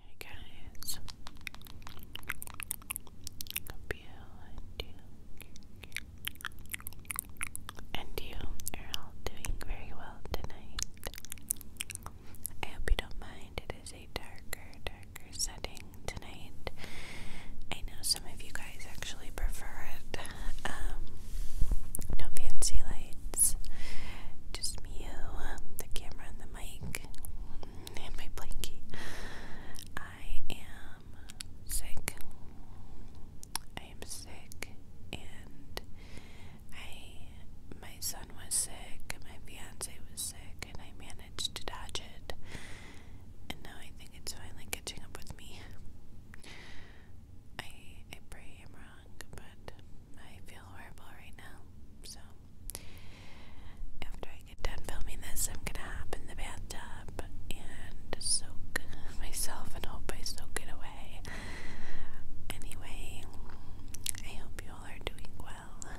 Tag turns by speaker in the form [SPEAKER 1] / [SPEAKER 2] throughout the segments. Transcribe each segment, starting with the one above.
[SPEAKER 1] Hey guys, hope you and you, and you are all doing very well tonight. I hope you don't mind, it is a darker, darker setting tonight. I know some of you guys actually prefer it. Um, no fancy lights, just me, you, um, the camera, and the and my blankie. I am sick. I am sick, and I my son was sick, my fiance was sick, and I managed to dodge it. And now I think it's finally catching up with me. I I pray I'm wrong, but I feel horrible right now. So after I get done filming this, I'm gonna hop in the bathtub and soak myself and hope I soak it away. Anyway, I hope you all are doing well.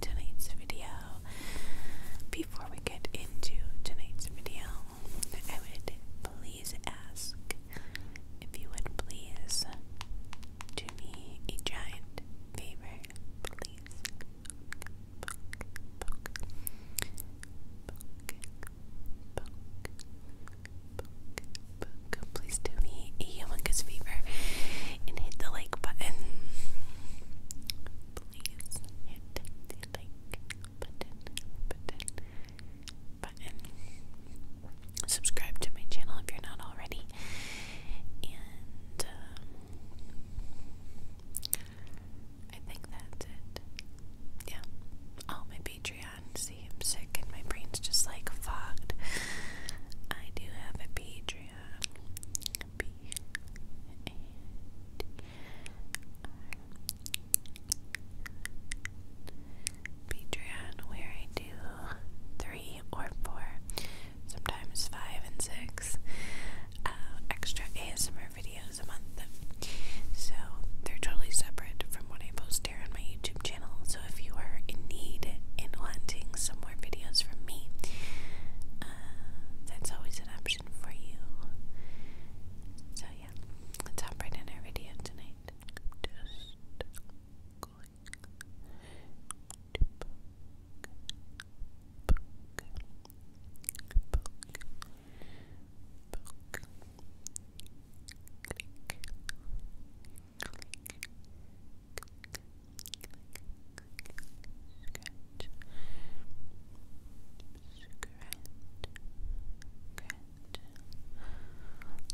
[SPEAKER 1] Tonight's video, before we get into tonight's video, I would please ask if you would please do me a giant favor, please. Please do me a humongous favor and hit the like button. Please hit the like button, button, button subscribe to my channel if you're not already. And um, I think that's it. Yeah. Oh, my Patreon. See, I'm sick and my brain's just like fogged. I do have a Patreon. Patreon where I do three or four, sometimes five and six uh, extra ASMR videos a month. So they're totally separate from what I post here on my YouTube channel. So if you are in need and wanting some more videos from me, uh, that's always an option for you. So yeah, let right in our video tonight going to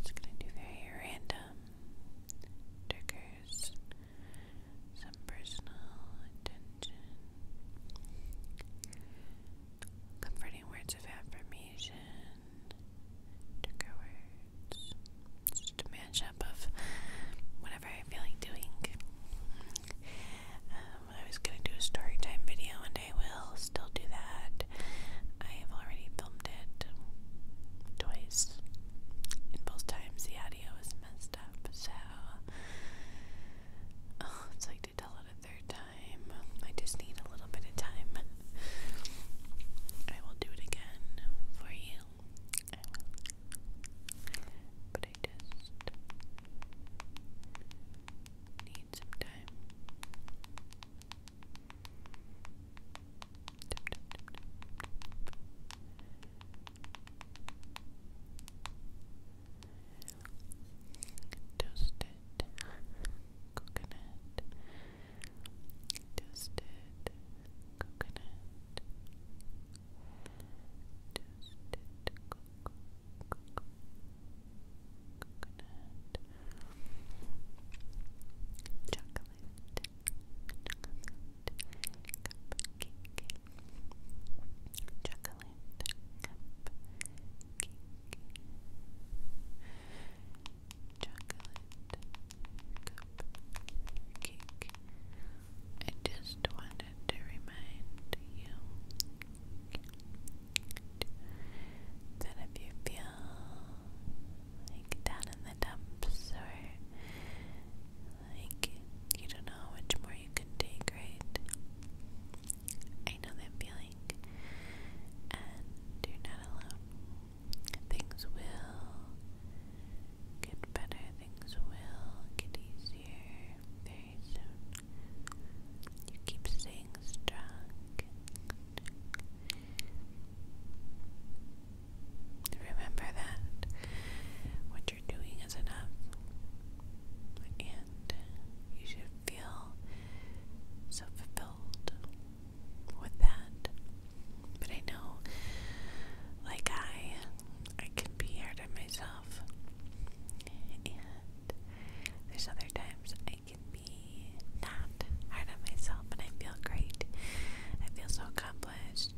[SPEAKER 1] just gonna do very random triggers some personal attention. Comforting words of affirmation, trigger words, just a mashup of whatever I feel like doing. Um, I was gonna do a story time video, and I will still do that. I have already filmed it twice. And both times the audio was messed up, so oh, it's like to tell it a third time. I just need a little bit of time. I will do it again for you. But I just need some time. Toasted coconut. Toasted coconut. Toasted coco, coco, coconut chocolate, cupcake, chocolate, cupcake, chocolate, cupcake. I just wanted to remind you that if you feel like down in the dumps, or like you don't know how much more you can take, right? I know that feeling, and you're not alone. Things will get better, things will get easier very soon. You keep staying strong, Remember that what you're doing is enough, and you should feel so fulfilled with that. But I know, like I, I can be hard on myself, and there's other times I I can be not hard on myself and I feel great. I feel so accomplished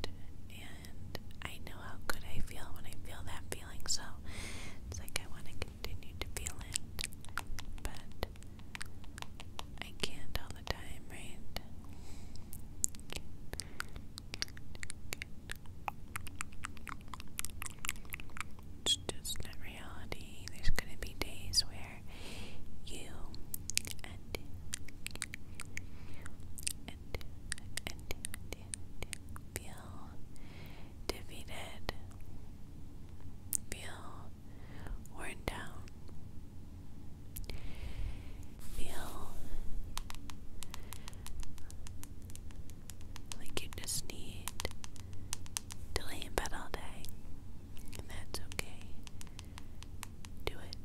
[SPEAKER 1] and I know how good I feel when I feel that feeling, so it's like I want to continue to feel it, but I can't all the time, right? It's just not reality, there's going to be days where you and and and, feel defeated, feel worn down, feel like you just need to lay in bed all day, and that's okay. Do it.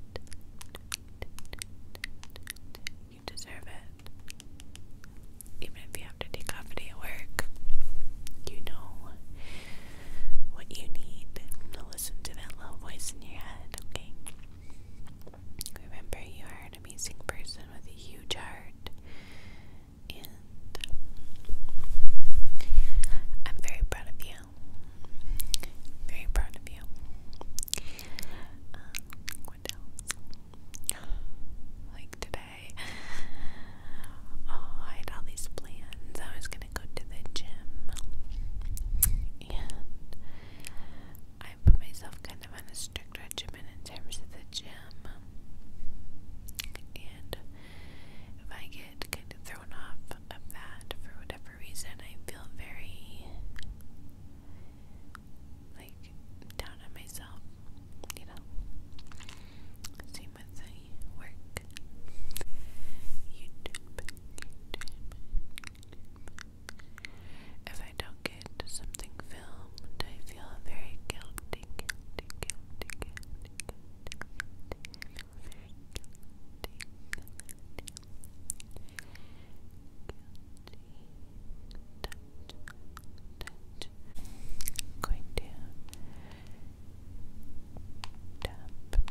[SPEAKER 1] You deserve it. Even if you have to take off a at work, you know what you need. listen to that little voice in your head, okay? Remember, you are an amazing person with a huge heart and I'm very proud of you. Very proud of you. Um, what else? Like today, oh, I had all these plans. I was gonna go to the gym, and I put myself kind of on a strict regimen in terms of the gym, and if I get kind of thrown off of that for whatever reason, I feel very like down on myself, you know. Same with the work, If I don't get something filmed, I feel very guilty, going to tap, tap. Tap,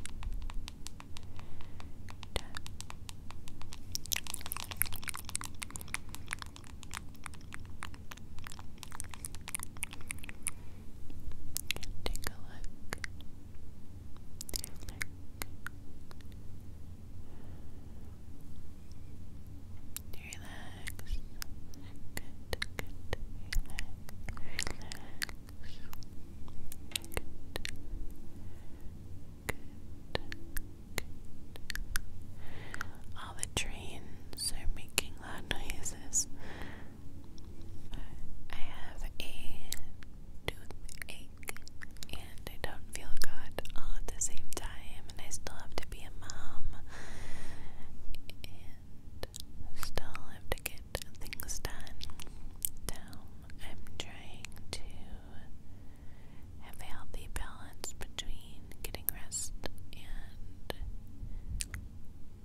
[SPEAKER 1] Take a look. Relax. Good, good. Relax. Relax. Good. Good. Good. All the trains are making loud noises. I have a toothache and I don't feel good all at the same time, and I still have to be a mom and still have to get things done. Now, I'm trying to have a healthy balance between getting rest and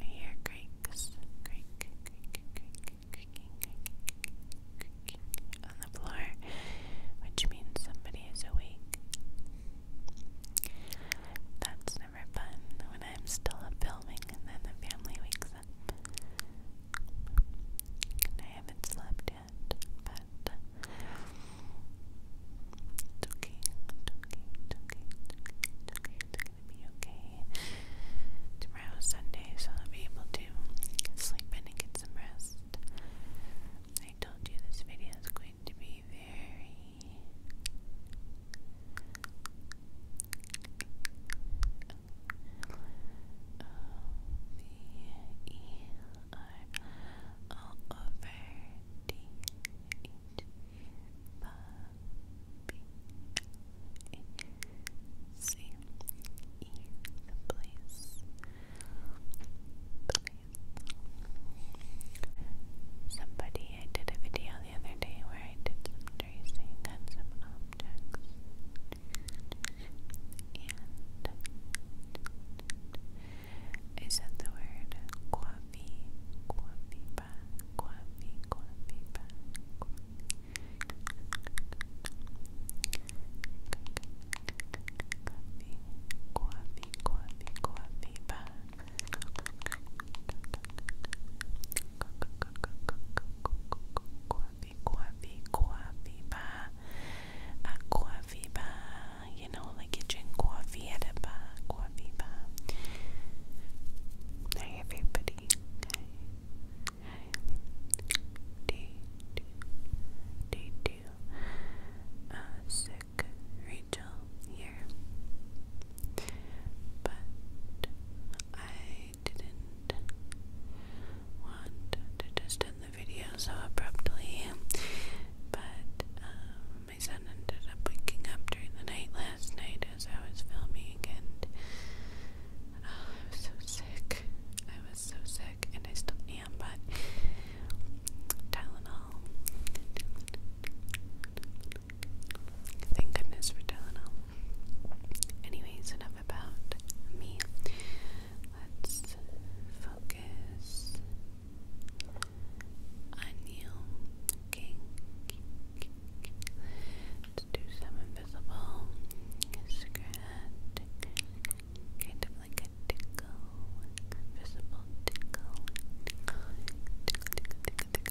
[SPEAKER 1] I hear creaks, creak, creak, creak, creaking, creaking, creaking on the floor, which means somebody is awake. That's never fun when I'm still up filming and then the family wakes up. And I haven't slept yet, but it's okay, it's okay, it's okay, it's okay, it's gonna be okay. Tomorrow's Sunday, so I'll be able to sleep in and get some rest. I told you this video is going to be very all over D H B C E somebody I did a video the other day where I did some tracing on some objects. And I said the word coffee, coffee ba, coffee, coffee ba, coffee, coffee, coffee, coffee ba. Viva, Aqua Viva, you know, like it's in Aqua Viva, Aqua Viva. Hey, everybody. Hey. Hey. Day sick Rachel here but I didn't want to end the video so abruptly. But um, my son ended up waking up during the night last night as I was filming, and oh, I was so sick. I was so sick, and I still am, but Tylenol. Thank goodness for Tylenol. Anyways, enough about me. Let's focus on you. do some invisible scratch. Kind of like a tickle. Invisible tickle. Tickle, tickle, tickle, tickle,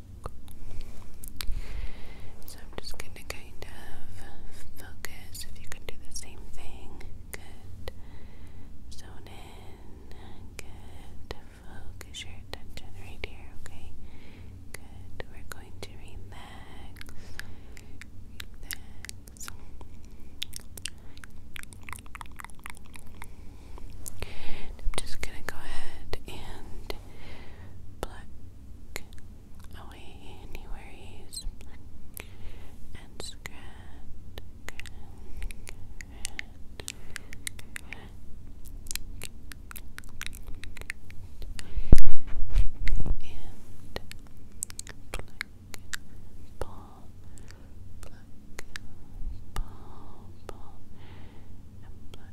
[SPEAKER 1] So I'm just going to kind of focus. If you can do the same thing, good. Zone in, good. Focus your attention right here, okay? Good. We're going to relax. Relax. I'm just gonna go ahead and pluck, pluck, away anywheres and scratch, and pluck, ball, pluck, ball, ball, and pluck.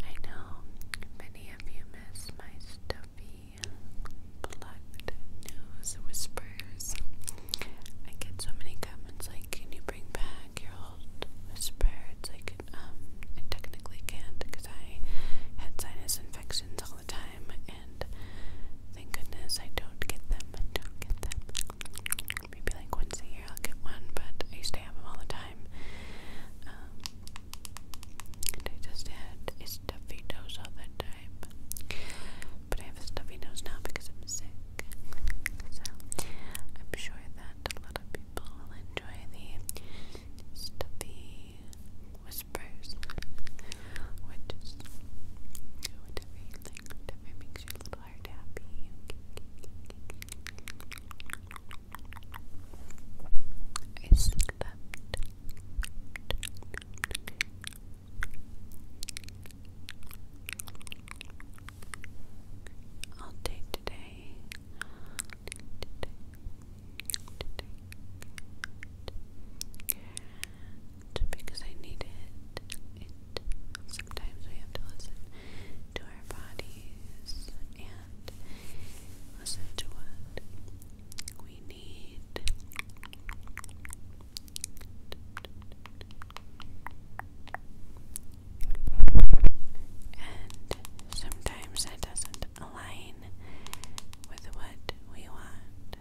[SPEAKER 1] I know many of you miss my stuffy plucked nose whispers. I get so many comments like like, can you bring back your old whisper? It's like, um, I technically can't because I had sinus infections all the time, and thank goodness I don't get them. I don't get them. Maybe like once a year I'll get one, but I used to have them all the time. Um, and I just had a stuffy nose all the time. But I have a stuffy nose now because I'm sick. So I'm sure that a lot of people enjoy the stuffy whispers, which is whatever you whatever makes your little heart happy. I slept. I I'll take today. because I need It sometimes we have to listen to our bodies and listen to what we need. And sometimes that doesn't align with what we want.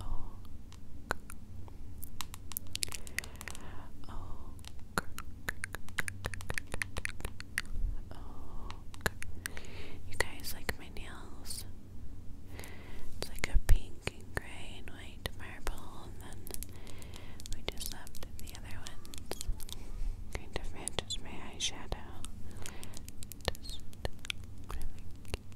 [SPEAKER 1] Oh, you guys like my nails? It's like a pink and gray and white marble, and then we just left the other ones. Kind of matches my eyeshadow.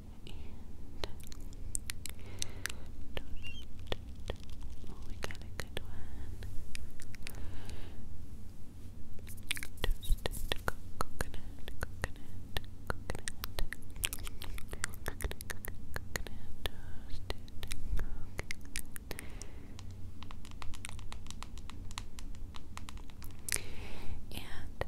[SPEAKER 1] oh, we got a good one. Toasted co coconut, coconut, coconut, coconut, coconut, toasted coconut. And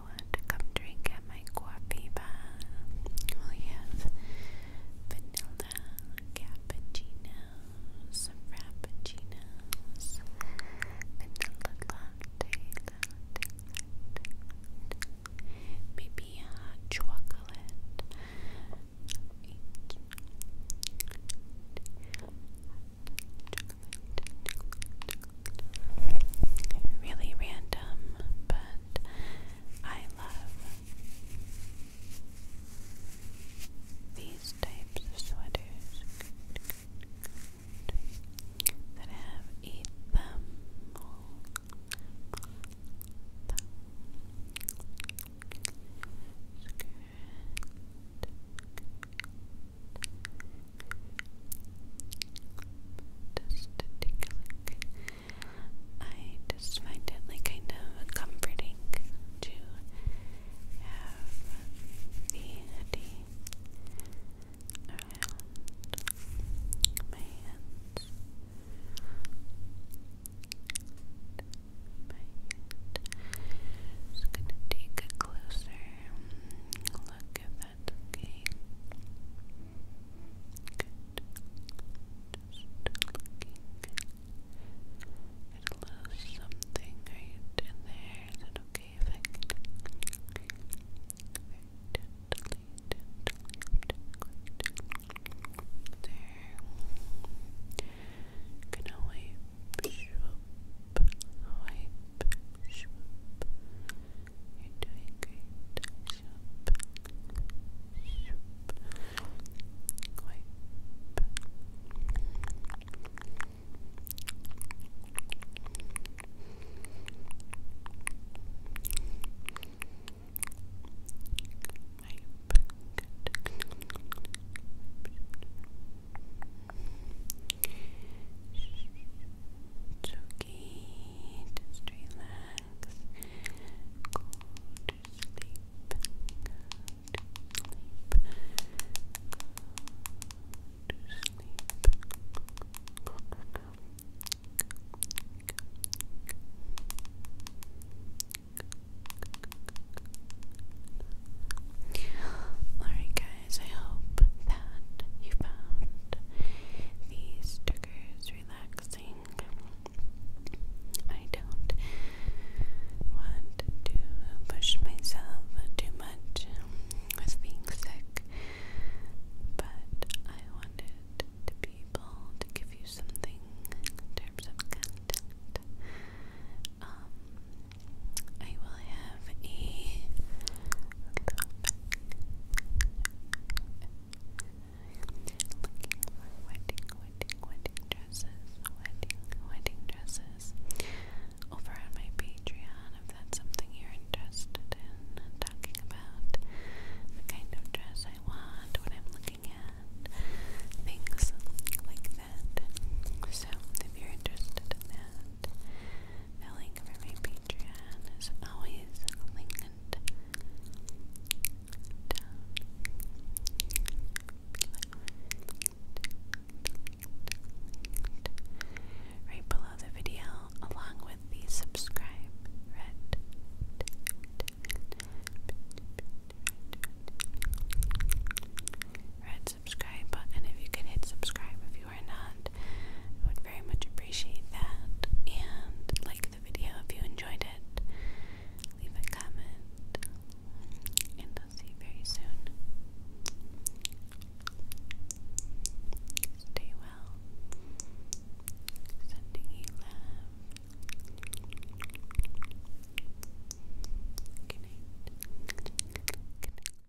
[SPEAKER 1] want to come drink at my coffee bar, we have vanilla cappuccinos, frappuccinos, vanilla latte, latte, maybe a uh, chocolate, Really random, but I love these types of sweaters that have a just to take a look. I just find it like kind of comforting to have the hoodie my hands. My gonna take a closer look at that's okay. Good. Just looking a little something right in there. Is okay very gently, there. Gonna wipe, wipe, you're doing great. Shoop. Shoop. Wipe. Wipe. Good. Wipe okay, just relax. Go to sleep. to sleep. to sleep. Alright, guys guys, I hope that you found these triggers relaxing. I don't want to push myself too much with being sick, but I wanted to to give you something in terms of content. Um, I will have a wedding, wedding, wedding dresses, wedding, wedding dresses over on my Patreon if that's something you're interested in talking about the kind of dress I want, what I'm looking at, things like that. So if you're interested in that, the link for my Patreon is always linked right below the video, along with the subscribe red. Red subscribe button if you could hit subscribe if you are not. I would very much appreciate that. And like the video if you enjoyed it. Leave a comment. And I'll see you very soon. Stay well. Sending you love. Good night.